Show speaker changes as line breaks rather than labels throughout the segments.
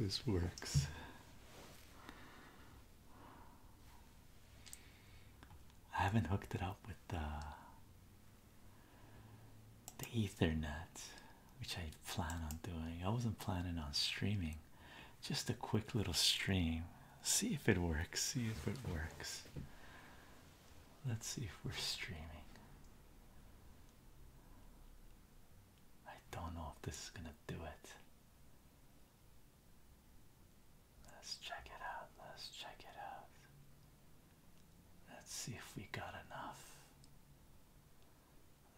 this works. I haven't hooked it up with the the Ethernet, which I plan on doing. I wasn't planning on streaming, just a quick little stream. See if it works. See if it works. Let's see if we're streaming. I don't know if this is gonna do it. Let's check it out. Let's check it out. Let's see if we got enough.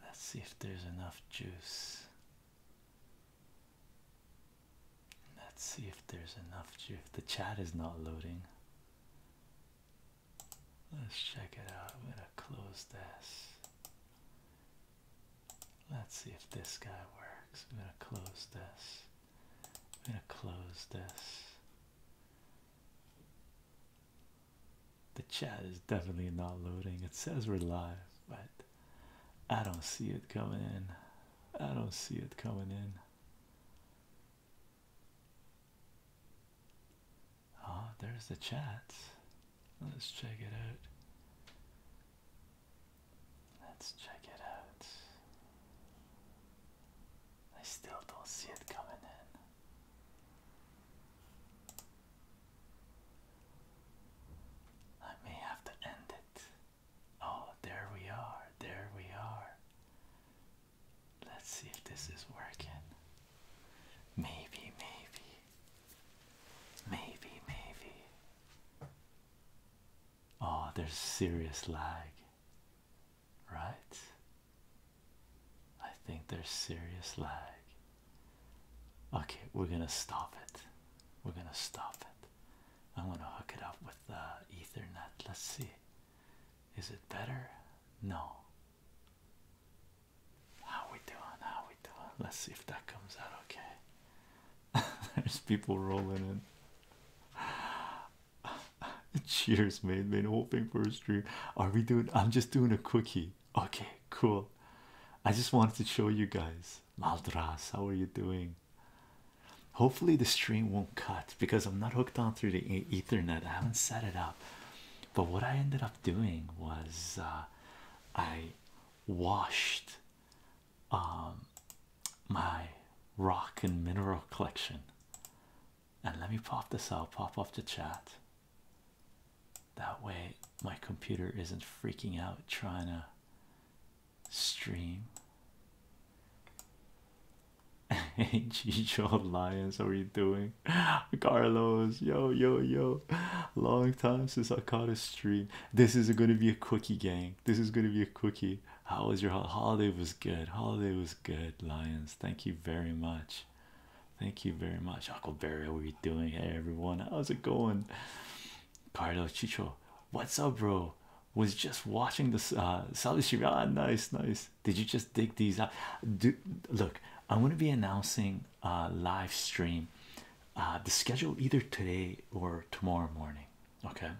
Let's see if there's enough juice. Let's see if there's enough juice. The chat is not loading. Let's check it out. I'm gonna close this. Let's see if this guy works. I'm gonna close this. I'm gonna close this. The chat is definitely not loading. It says we're live, but I don't see it coming in. I don't see it coming in. Ah, there's the chat. Let's check it out. Let's check it out. I still don't see it coming in. I may have to end it. Oh, there we are. There we are. Let's see if this is working. Maybe, maybe. Maybe, maybe. Oh, there's serious lag, right? I think there's serious lag. Okay, we're gonna stop it. We're gonna stop it. I'm gonna hook it up with the Ethernet. Let's see. Is it better? No. How we doing? How we doing? Let's see if that comes out okay. There's people rolling in. Cheers, mate. Been hoping for a stream. Are we doing? I'm just doing a cookie. Okay, cool. I just wanted to show you guys. Maldras, how are you doing? Hopefully the stream won't cut because I'm not hooked on through the Ethernet. I haven't set it up. But what I ended up doing was uh, I washed um, my rock and mineral collection. And let me pop this out, pop off the chat. That way, my computer isn't freaking out trying to stream. Hey, G. Joe Lyons, how are you doing? Carlos, yo, yo, yo. Long time since I caught a stream. This is going to be a cookie gang. This is going to be a cookie. How was your holiday? Was good. Holiday was good. Lions, thank you very much. Thank you very much, Huckleberry. How are you doing? Hey, everyone, how's it going? Carlos Chicho, what's up, bro? Was just watching this. Uh, Salishira, ah, nice, nice. Did you just dig these out? Do, look, I'm gonna be announcing uh, live stream uh, the schedule either today or tomorrow morning. Okay,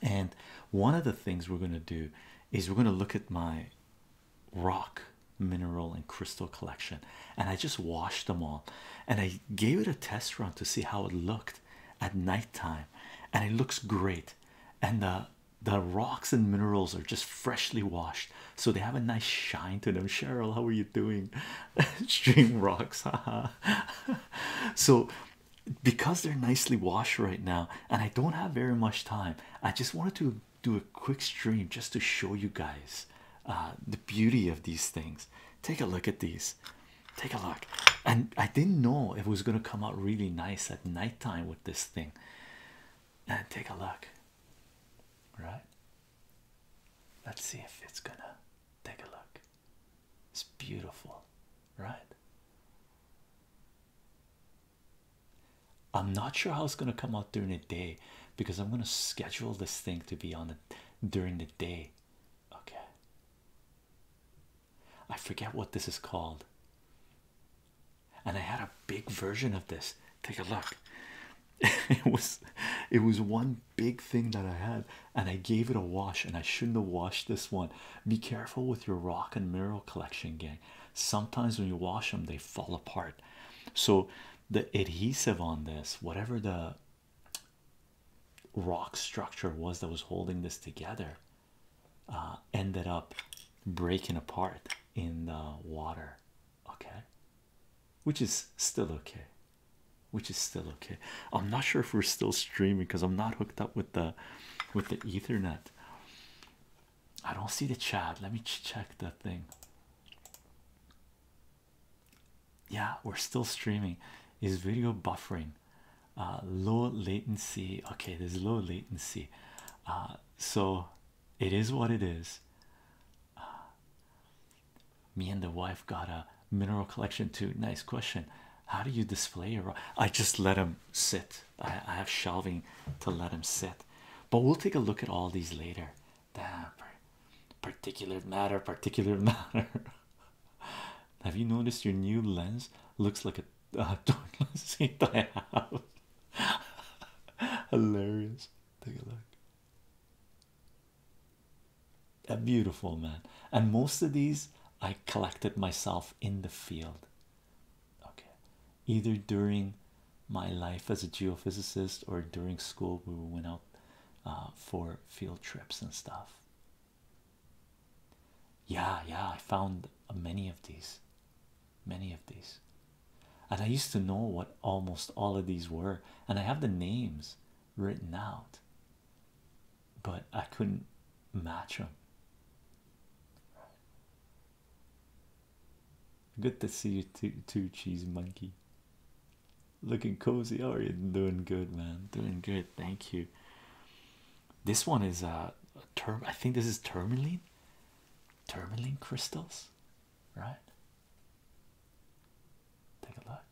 and one of the things we're going to do is we're going to look at my rock, mineral, and crystal collection, and I just washed them all and I gave it a test run to see how it looked at night time, and it looks great. And uh the rocks and minerals are just freshly washed, so they have a nice shine to them. Cheryl, how are you doing? Stream rocks, so because they're nicely washed right now, and I don't have very much time, I just wanted to do a quick stream just to show you guys uh, the beauty of these things. Take a look at these, take a look. And I didn't know it was going to come out really nice at nighttime with this thing. And take a look right? Let's see if it's gonna take a look. It's beautiful, right? I'm not sure how it's gonna come out during the day because I'm gonna schedule this thing to be on it during the day. Okay. I forget what this is called and I had a big version of this. Take a look. it was it was one big thing that I had, and I gave it a wash, and I shouldn't have washed this one. Be careful with your rock and mural collection, gang. Sometimes when you wash them, they fall apart. So the adhesive on this, whatever the rock structure was that was holding this together, uh, ended up breaking apart in the water, okay, which is still okay, which is still okay. I'm not sure if we're still streaming because I'm not hooked up with the with the Ethernet. I don't see the chat. Let me check that thing. Yeah, we're still streaming. Is video buffering? Uh, low latency. Okay, there's low latency. Uh, so it is what it is. Uh, me and the wife got a mineral collection too. Nice question. How do you display your? I just let them sit. I, have shelving to let them sit, but we'll take a look at all these later. Damn, particular matter, particular matter. have you noticed your new lens looks like a uh, do Hilarious. Take a look. A beautiful man, and most of these I collected myself in the field. Okay, either during my life as a geophysicist or during school, we went out uh, for field trips and stuff. Yeah, yeah, I found many of these many of these and i used to know what almost all of these were and i have the names written out but i couldn't match them good to see you too, cheese monkey looking cozy are you doing good man doing good thank you this one is a, uh, a term i think this is tourmaline tourmaline crystals, right? Take a look.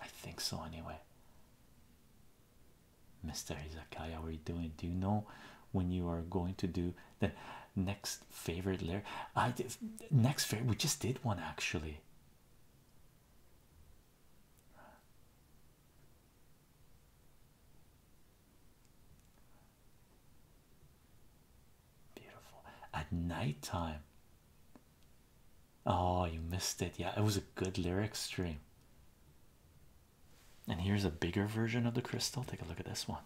I think so, anyway. Mr. Izakaya, how are you doing? Do you know when you are going to do the next favorite layer? I did next favorite, we just did one actually. Beautiful at nighttime. Oh, you missed it. Yeah, it was a good lyric stream. And here's a bigger version of the crystal. Take a look at this one.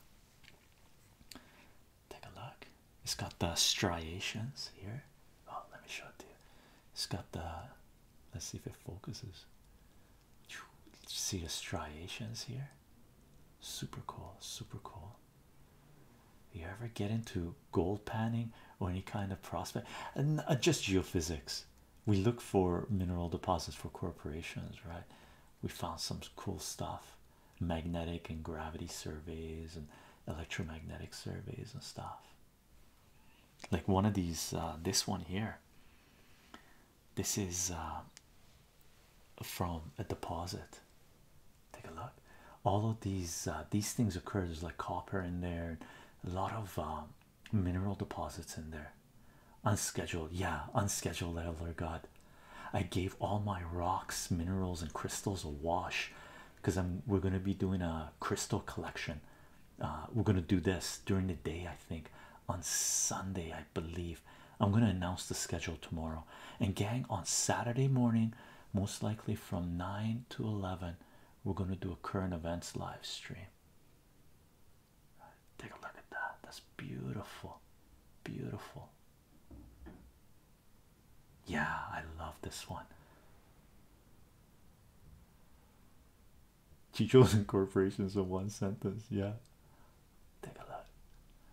Take a look. It's got the striations here. Oh, let me show it to you. It's got the let's see if it focuses see the striations here super cool super cool you ever get into gold panning or any kind of prospect and uh, just geophysics we look for mineral deposits for corporations right we found some cool stuff magnetic and gravity surveys and electromagnetic surveys and stuff like one of these uh, this one here this is uh, from a deposit. Take a look. All of these uh, these things occur. There's like copper in there, a lot of uh, mineral deposits in there. Unscheduled, yeah, unscheduled. Elder God, I gave all my rocks, minerals, and crystals a wash because I'm we're gonna be doing a crystal collection. we're gonna do this during the day. I think on Sunday, I believe. I'm going to announce the schedule tomorrow. And, gang, on Saturday morning, most likely from 9 to 11, we're going to do a current events live stream. Take a look at that. That's beautiful. Beautiful. Yeah, I love this one. Chicho's incorporations in one sentence. Yeah, take a look.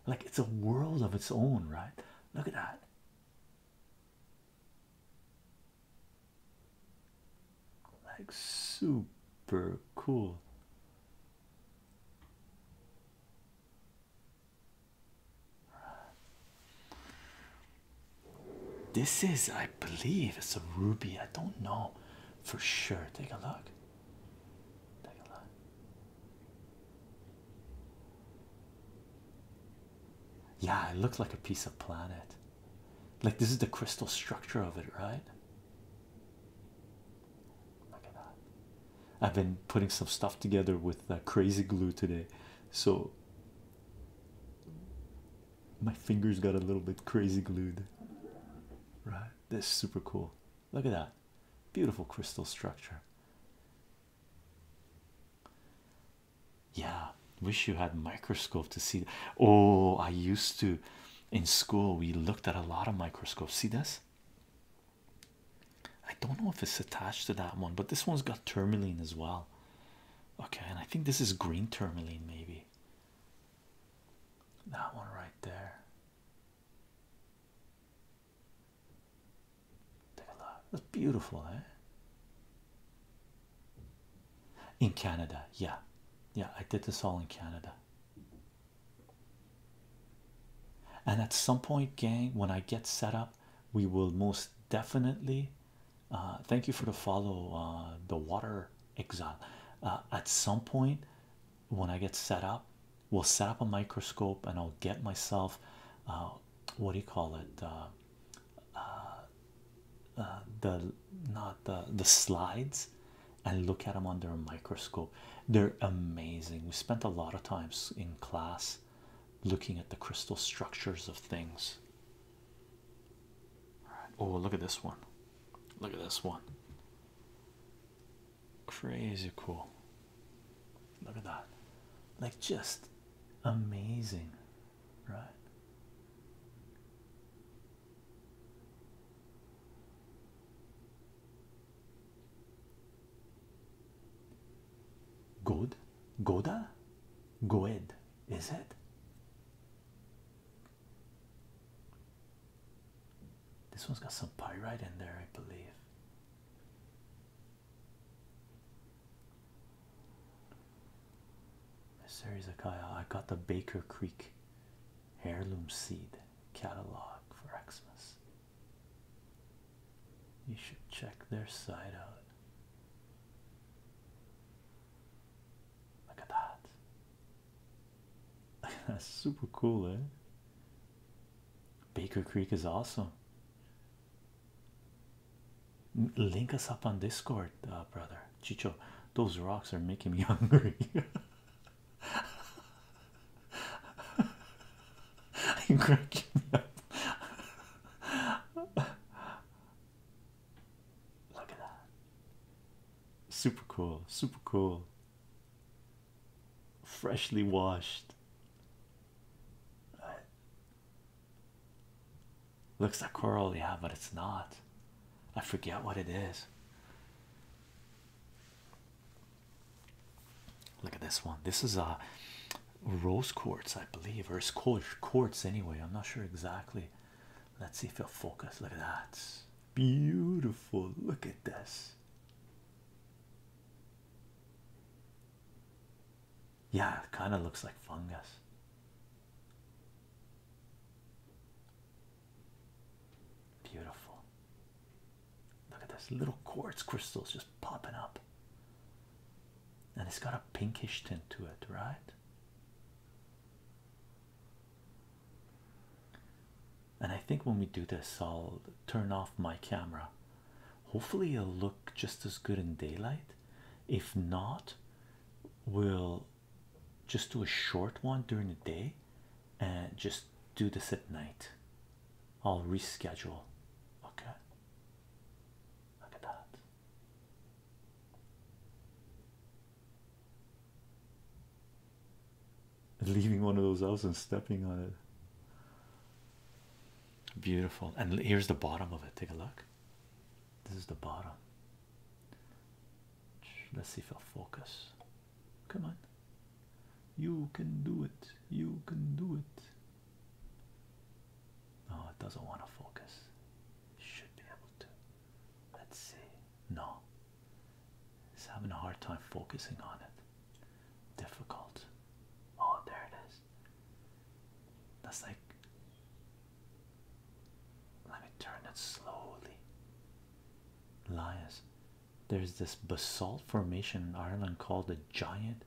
Like it's a world of its own, right? Look at that. Like super cool. This is, I believe, it's a ruby. I don't know for sure. Take a look. Yeah, it looks like a piece of planet. Like this is the crystal structure of it, right? Look at that. I've been putting some stuff together with uh, crazy glue today, so my fingers got a little bit crazy glued, right? This is super cool. Look at that beautiful crystal structure. Yeah, wish you had microscope to see. Oh, I used to in school we looked at a lot of microscopes. See this? I don't know if it's attached to that one, but this one's got tourmaline as well. Okay, and I think this is green tourmaline, maybe that one right there. Take a look. That's beautiful, eh? In Canada, yeah, yeah, I did this all in Canada. And at some point, gang, when I get set up, we will most definitely. Uh, thank you for the follow. Uh, the water exile. Uh, at some point, when I get set up, we'll set up a microscope and I'll get myself uh, what do you call it? Uh, uh, the not the the slides and look at them under a microscope. They're amazing. We spent a lot of times in class looking at the crystal structures of things. Oh, look at this one. Look at this one. Crazy cool. Look at that. Like just amazing, right? Good, Goda, Goed, is it? This one's got some pyrite in there, I believe. Series Akaya. I got the Baker Creek heirloom seed catalog for Xmas. You should check their site out. Look at that. That's super cool, eh? Baker Creek is awesome. Link us up on Discord, uh, brother Chicho. Those rocks are making me hungry. I'm cracking up. Look at that. Super cool, super cool. Freshly washed. Uh, looks like coral, yeah, but it's not. I forget what it is. Look at this one. This is a uh, rose quartz, I believe, or it's quartz, quartz anyway. I'm not sure exactly. Let's see if it'll focus. Look at that. Beautiful. Look at this. Yeah, it kind of looks like fungus. Beautiful. Look at this little quartz crystals just popping up. And it's got a pinkish tint to it, right? And I think when we do this, I'll turn off my camera. Hopefully, it'll look just as good in daylight. If not, we'll just do a short one during the day and just do this at night. I'll reschedule. Okay. Look at that. leaving one of those elves and stepping on it. Beautiful. And here's the bottom of it. Take a look. This is the bottom. Let's see if I'll focus. Come on. You can do it. You can do it. No, it doesn't want to focus. should be able to. Let's see. No. he's having a hard time focusing on it. Difficult. Oh, there it is. That's like. Let me turn it slowly. Lias, there's this basalt formation in Ireland called the Giant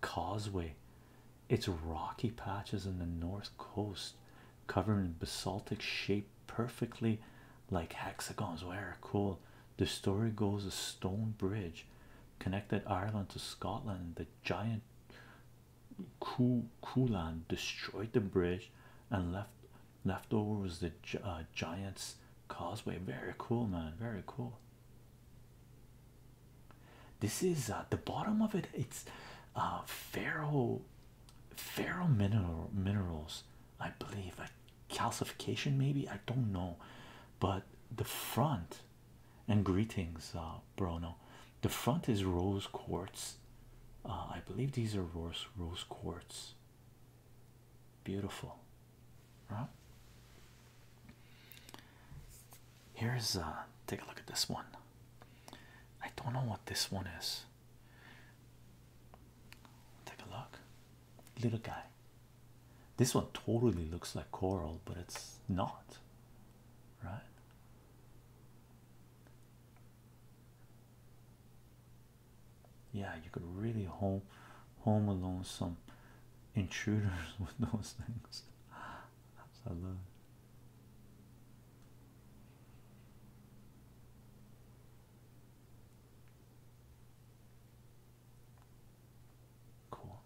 Causeway. It's rocky patches in the north coast covered in basaltic shape, perfectly like hexagons. Very cool. The story goes a stone bridge connected Ireland to Scotland. The giant Kulan destroyed the bridge and left left over was the uh, giant's causeway. Very cool, man. Very cool. This is uh, the bottom of it. It's uh, Pharaoh ferro mineral minerals i believe a calcification maybe i don't know but the front and greetings uh bruno the front is rose quartz uh, i believe these are rose rose quartz beautiful right here's uh take a look at this one i don't know what this one is Take a look. Little guy. This one totally looks like coral, but it's not, right? Yeah, you could really home home alone some intruders with those things. Absolutely. Cool.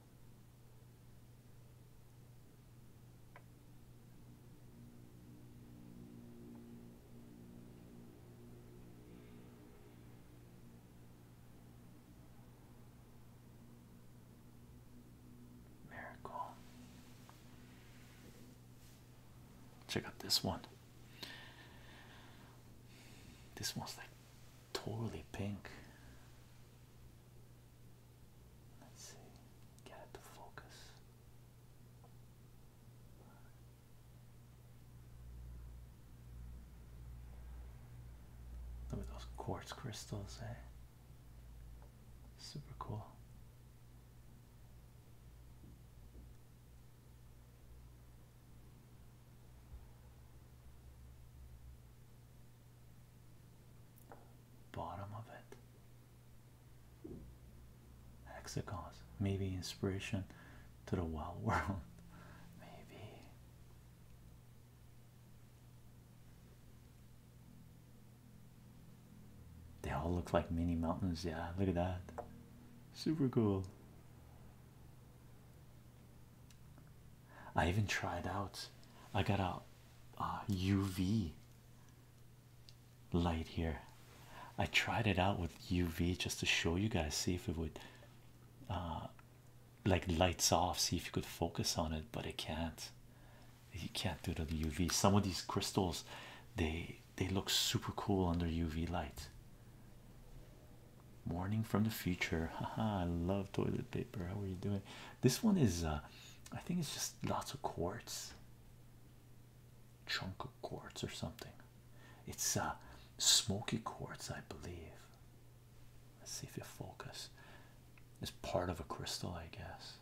Miracle. Check out this one. This one's like totally pink. Let's see, get it to focus. Look at those quartz crystals, eh? Super cool. Bottom of it. Hexagons. Maybe inspiration to the wild world. Maybe. They all look like mini mountains. Yeah, look at that. Super cool. I even tried out. I got a UV light here. I tried it out with UV just to show you guys, see if it would uh, like lights off, see if you could focus on it, but it can't you can't do the UV. Some of these crystals they they look super cool under UV light. Morning from the future. Haha, I love toilet paper. How are you doing? This one is uh I think it's just lots of quartz. Chunk of quartz or something. It's uh smoky quartz, I believe. Let's see if you focus. It's part of a crystal, I guess.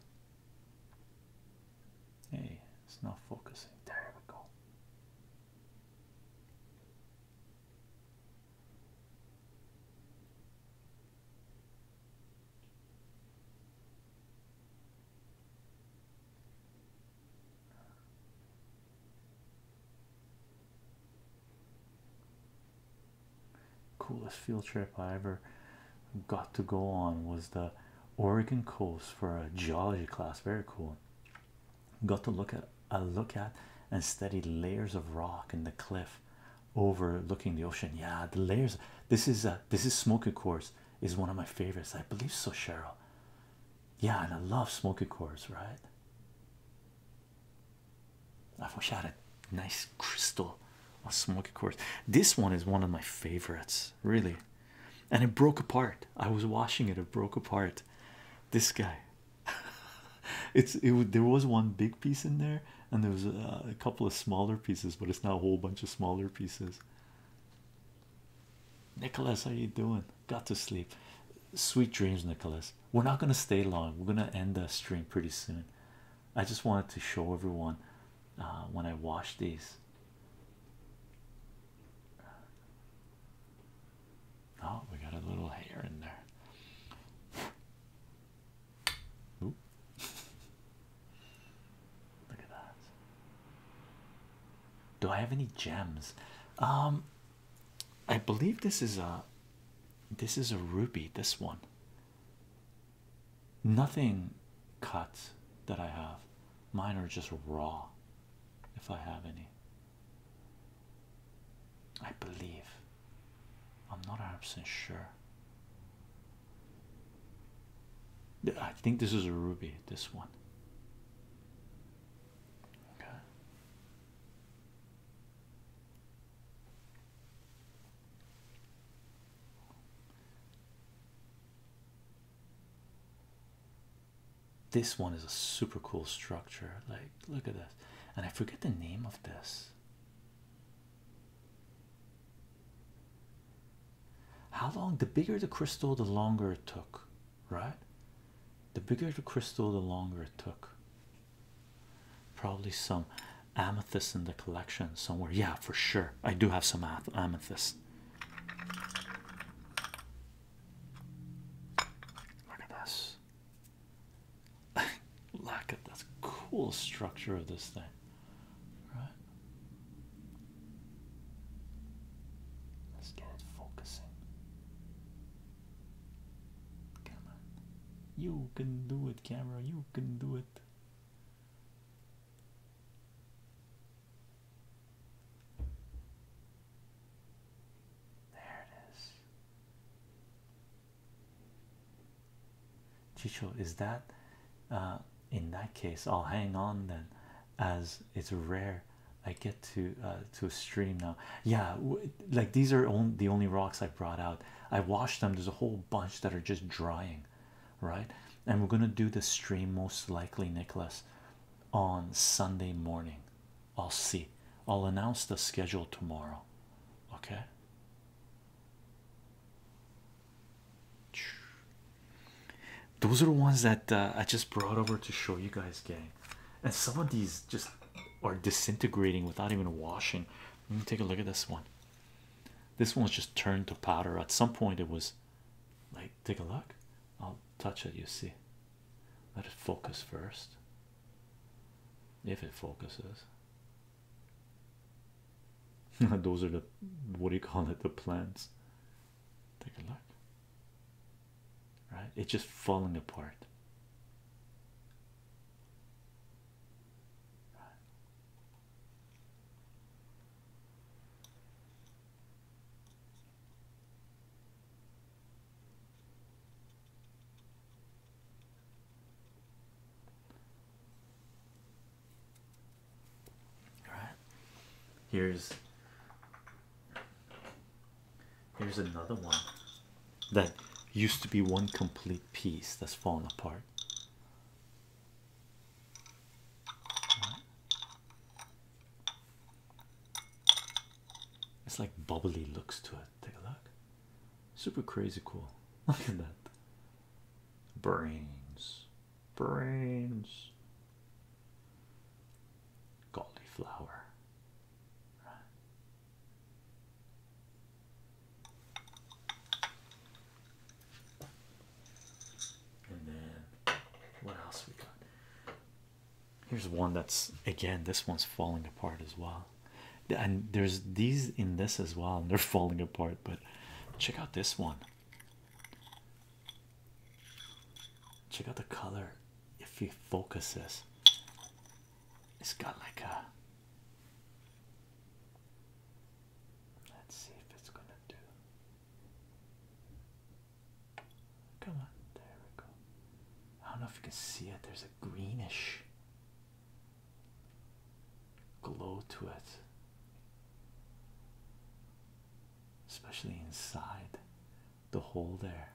Hey, it's not focusing. There we go. Coolest field trip I ever got to go on was the Oregon coast for a geology class. Very cool. Got to look at a look at and study layers of rock in the cliff overlooking the ocean. Yeah, the layers. This is a this is Smoky Quartz is one of my favorites. I believe so, Cheryl. Yeah, and I love Smoky Quartz, right? I wish I had a nice crystal of Smoky Quartz. This one is one of my favorites really and it broke apart i was washing it it broke apart this guy it's it there was one big piece in there and there was a, uh, a couple of smaller pieces but it's now a whole bunch of smaller pieces nicholas how you doing got to sleep sweet dreams nicholas we're not going to stay long we're going to end the stream pretty soon I just wanted to show everyone uh, when I wash these. Oh, we got a little hair in there. Look at that. Do I have any gems? Um, I believe this is a this is a ruby. This one nothing cut that I have. Mine are just raw, if I have any. I believe. I'm not absolutely sure. I think this is a ruby, this one. Okay. This one is a super cool structure. Like, look at this. And I forget the name of this. How long? The bigger the crystal, the longer it took, right? The bigger the crystal, the longer it took. Probably some amethyst in the collection somewhere. Yeah, for sure. I do have some amethyst. Look at this. Look at this cool structure of this thing. Right. Let's get it focusing. Come You can do it, camera. You can do it. There it is. Chicho, is that uh, in that case? I'll hang on then, as it's rare. I get to uh, to stream now. Yeah, like these are the only rocks I brought out. I washed them. There's a whole bunch that are just drying right? And we're gonna do the stream most likely, Nicholas, on Sunday morning. I'll see. I'll announce the schedule tomorrow. Okay. Those are the ones that uh, I just brought over to show you guys, gang. And some of these just are disintegrating without even washing. Let me take a look at this one. This one's just turned to powder. At some point, it was like, take a look. I'll touch it, you see. Let it focus first. If it focuses, those are the what do you call it? The plants. Take a look. Right? It's just falling apart. Right. All right. Here's Here's another one that used to be one complete piece that's fallen apart. It's like bubbly looks to it. Take a look. Super crazy cool. Look at that. Brains. Brains. Goldy flower. Right. And then what else we got? Here's one that's again, this one's falling apart as well. And there's these in this as well, and they're falling apart. But check out this one. Check out the color. If you focus this, it's got like a Let's see if it's gonna do. Come on, there we go. I don't know if you can see it, there's a greenish glow to it, especially inside the hole there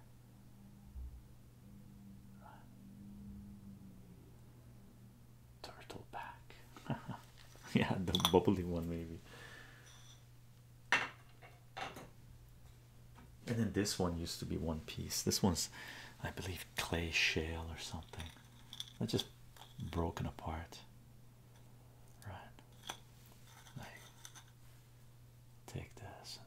turtle back. yeah, the bubbly one, maybe. And then this one used to be one piece. This one's, I believe, clay shale or something. That's just broken apart. Right. take this.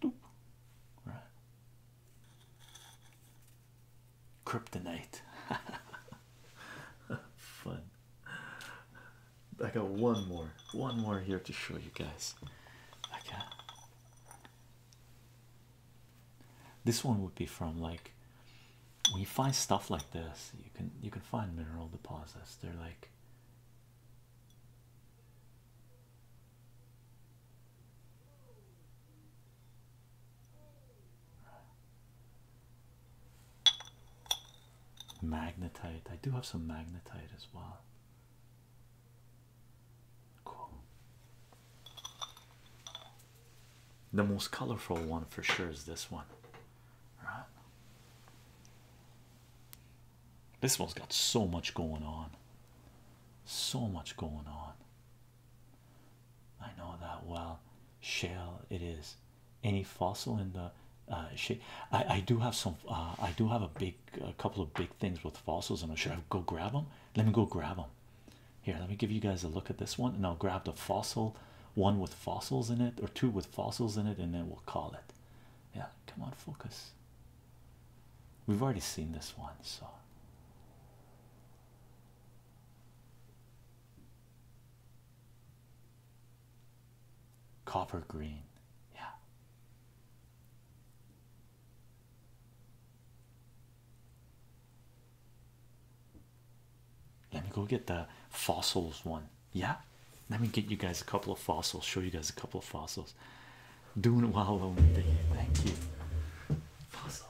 Doop. Right. Kryptonite. Fun. I got one more, one more here to show you guys. Okay. This one would be from like when you find stuff like this, you can you can find mineral deposits. They're like Magnetite. I do have some magnetite as well. Cool. The most colorful one for sure is this one. Right? This one's got so much going on. So much going on. I know that well. Shell it is. Any fossil in the uh, I I do have some. Uh, I do have a big, couple of big things with fossils, and I'm sure I go grab them. Let me go grab them. Here, let me give you guys a look at this one, and I'll grab the fossil one with fossils in it, or two with fossils in it, and then we'll call it. Yeah, come on, focus. We've already seen this one, so copper green, yeah. Let me go get the fossils one, yeah. Let me get you guys a couple of fossils, show you guys a couple of fossils. Doing well, Lomita. Thank you. Puzzles.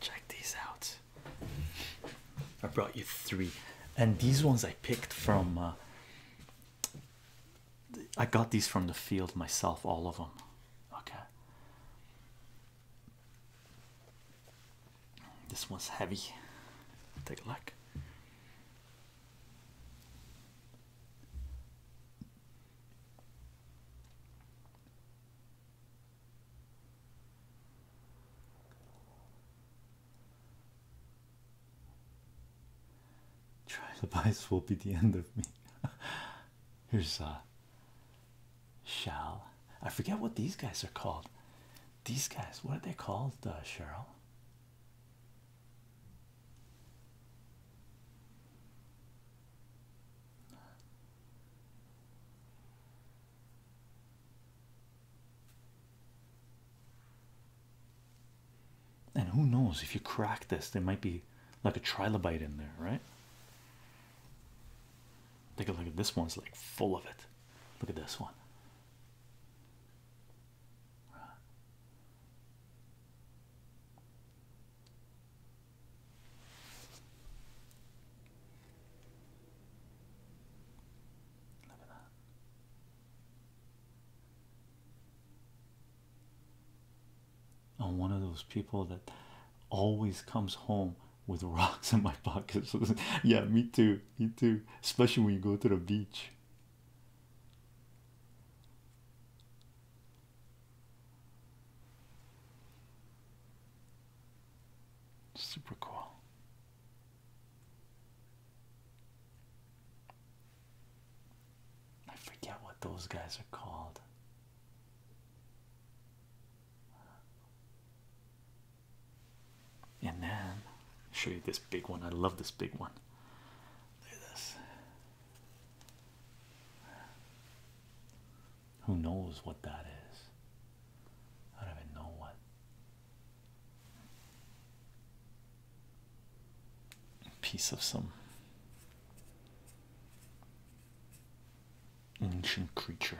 Check these out. I brought you three, and these ones I picked from. Uh, I got these from the field myself, all of them. Okay. This one's heavy. Take a look. Try the bias will be the end of me. Here's uh Shall I forget what these guys are called? These guys, what are they called, uh, Cheryl? And who knows if you crack this, there might be like a trilobite in there, right? Take a look at this one. It's like full of it. Look at this one. I'm one of those people that always comes home with rocks in my pockets. yeah, me too. Me too. Especially when you go to the beach. Super cool. I forget what those guys are called. And then I'll show you this big one. I love this big one. Look at this. Who knows what that is? I don't even know what. piece of some ancient creature.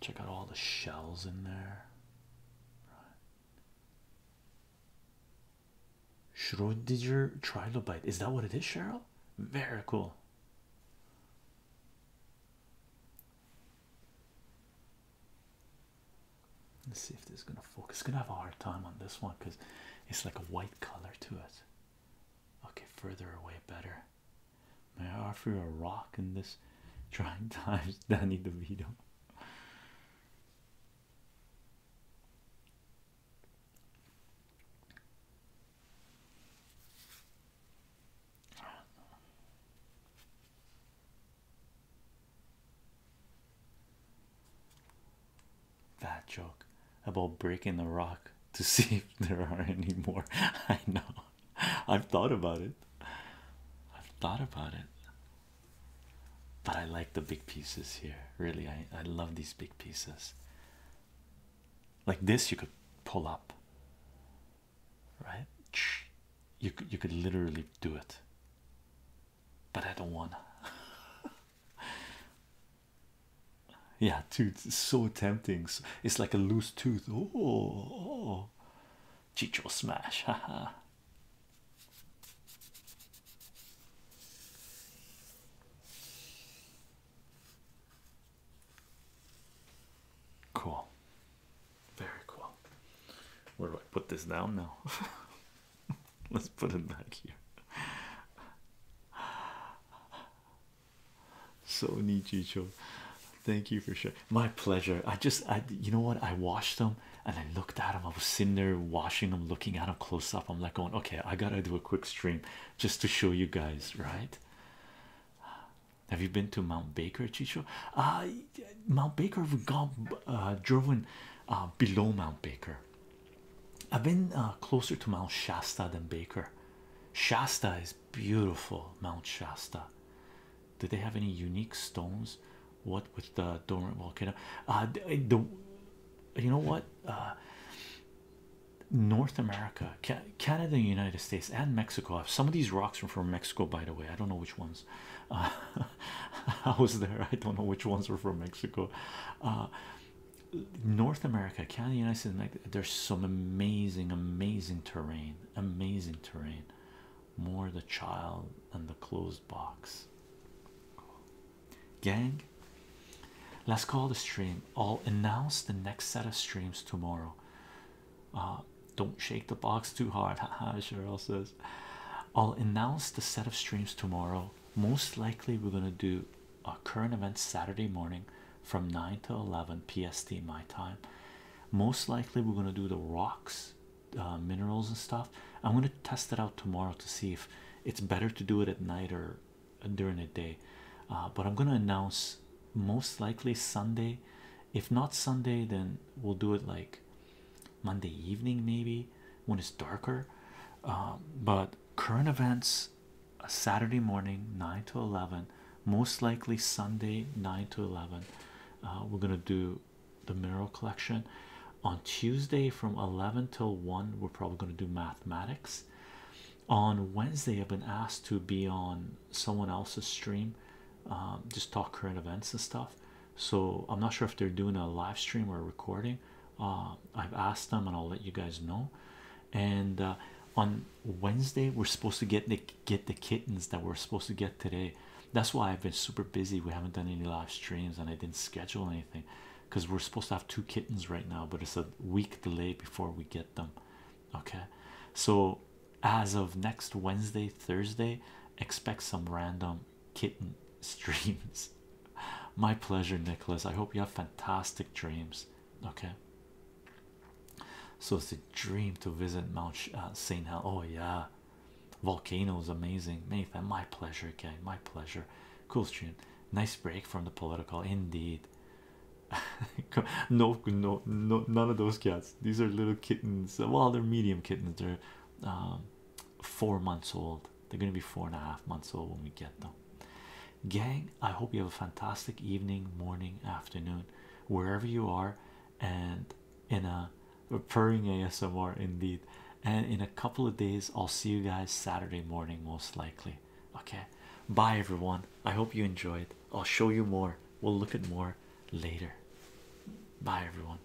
Check out all the shells in there. Right. trilobite. Is that what it is, Cheryl? Very cool. Let's see if this is gonna focus. gonna have a hard time on this one because it's like a white color to it. Okay, further away better. May I offer you a rock in this trying times, Danny DeVito? That joke about breaking the rock to see if there are any more. I know. I've thought about it. I've thought about it. But I like the big pieces here. Really, I, I love these big pieces. Like this, you could pull up. Right? You could, you could literally do it. But I don't want Yeah, tooth is so tempting. It's like a loose tooth. Oh, oh. Chicho smash. Haha. cool. Very cool. Where do I put this down now? Let's put it back here. So neat, Chicho. Thank you for sharing. My pleasure. I just, I, you know what? I washed them and I looked at them. I was sitting there washing them, looking at them close up. I'm like, going, okay, I gotta do a quick stream just to show you guys, right? Have you been to Mount Baker, Chicho? Uh, Mount Baker, we've gone, uh, driven uh, below Mount Baker. I've been uh, closer to Mount Shasta than Baker. Shasta is beautiful. Mount Shasta. Do they have any unique stones? What with the dormant volcano? Uh, the you know what? Uh, North America, Canada, United States, and Mexico have some of these rocks are from Mexico, by the way. I don't know which ones. Uh, I was there, I don't know which ones were from Mexico. Uh, North America, Canada, United States, there's some amazing, amazing terrain, amazing terrain. More the child and the closed box. Gang, let's call the stream. I'll announce the next set of streams tomorrow. Uh, don't shake the box too hard. Cheryl says, I'll announce the set of streams tomorrow. Most likely, we're gonna do current events Saturday morning from 9 to 11 PST my time. Most likely, we're going to do the rocks, uh, minerals, and stuff. I'm going to test it out tomorrow to see if it's better to do it at night or during the day. Uh, but I'm going to announce most likely Sunday. If not Sunday, then we'll do it like Monday evening, maybe when it's darker. Um, but current events Saturday morning, 9 to 11, most likely Sunday, 9 to 11. Uh, we're gonna do the mineral collection on Tuesday from 11 till 1. We're probably gonna do mathematics on Wednesday. I've been asked to be on someone else's stream, um, just talk current events and stuff. So, I'm not sure if they're doing a live stream or a recording. Uh, I've asked them, and I'll let you guys know and uh, on Wednesday we're supposed to get the get the kittens that we're supposed to get today. That's why I've been super busy. We haven't done any live streams and I didn't schedule anything because we're supposed to have two kittens right now, but it's a week delay before we get them. Okay, so as of next Wednesday, Thursday, expect some random kitten streams. My pleasure, Nicholas. I hope you have fantastic dreams. Okay, so it's a dream to visit Mount uh, St. Hel. Oh, yeah, volcanoes amazing. Nathan, my pleasure, again, My pleasure. Cool stream. Nice break from the political, indeed. no, no, no, none of those cats. These are little kittens. Well, they're medium kittens. They're um, four months old. They're gonna be four and a half months old when we get them gang. I hope you have a fantastic evening, morning, afternoon, wherever you are, and in a, purring ASMR indeed. And in a couple of days, I'll see you guys Saturday morning, most likely. Okay, bye everyone. I hope you enjoyed. I'll show you more, we'll look at more later. Bye everyone.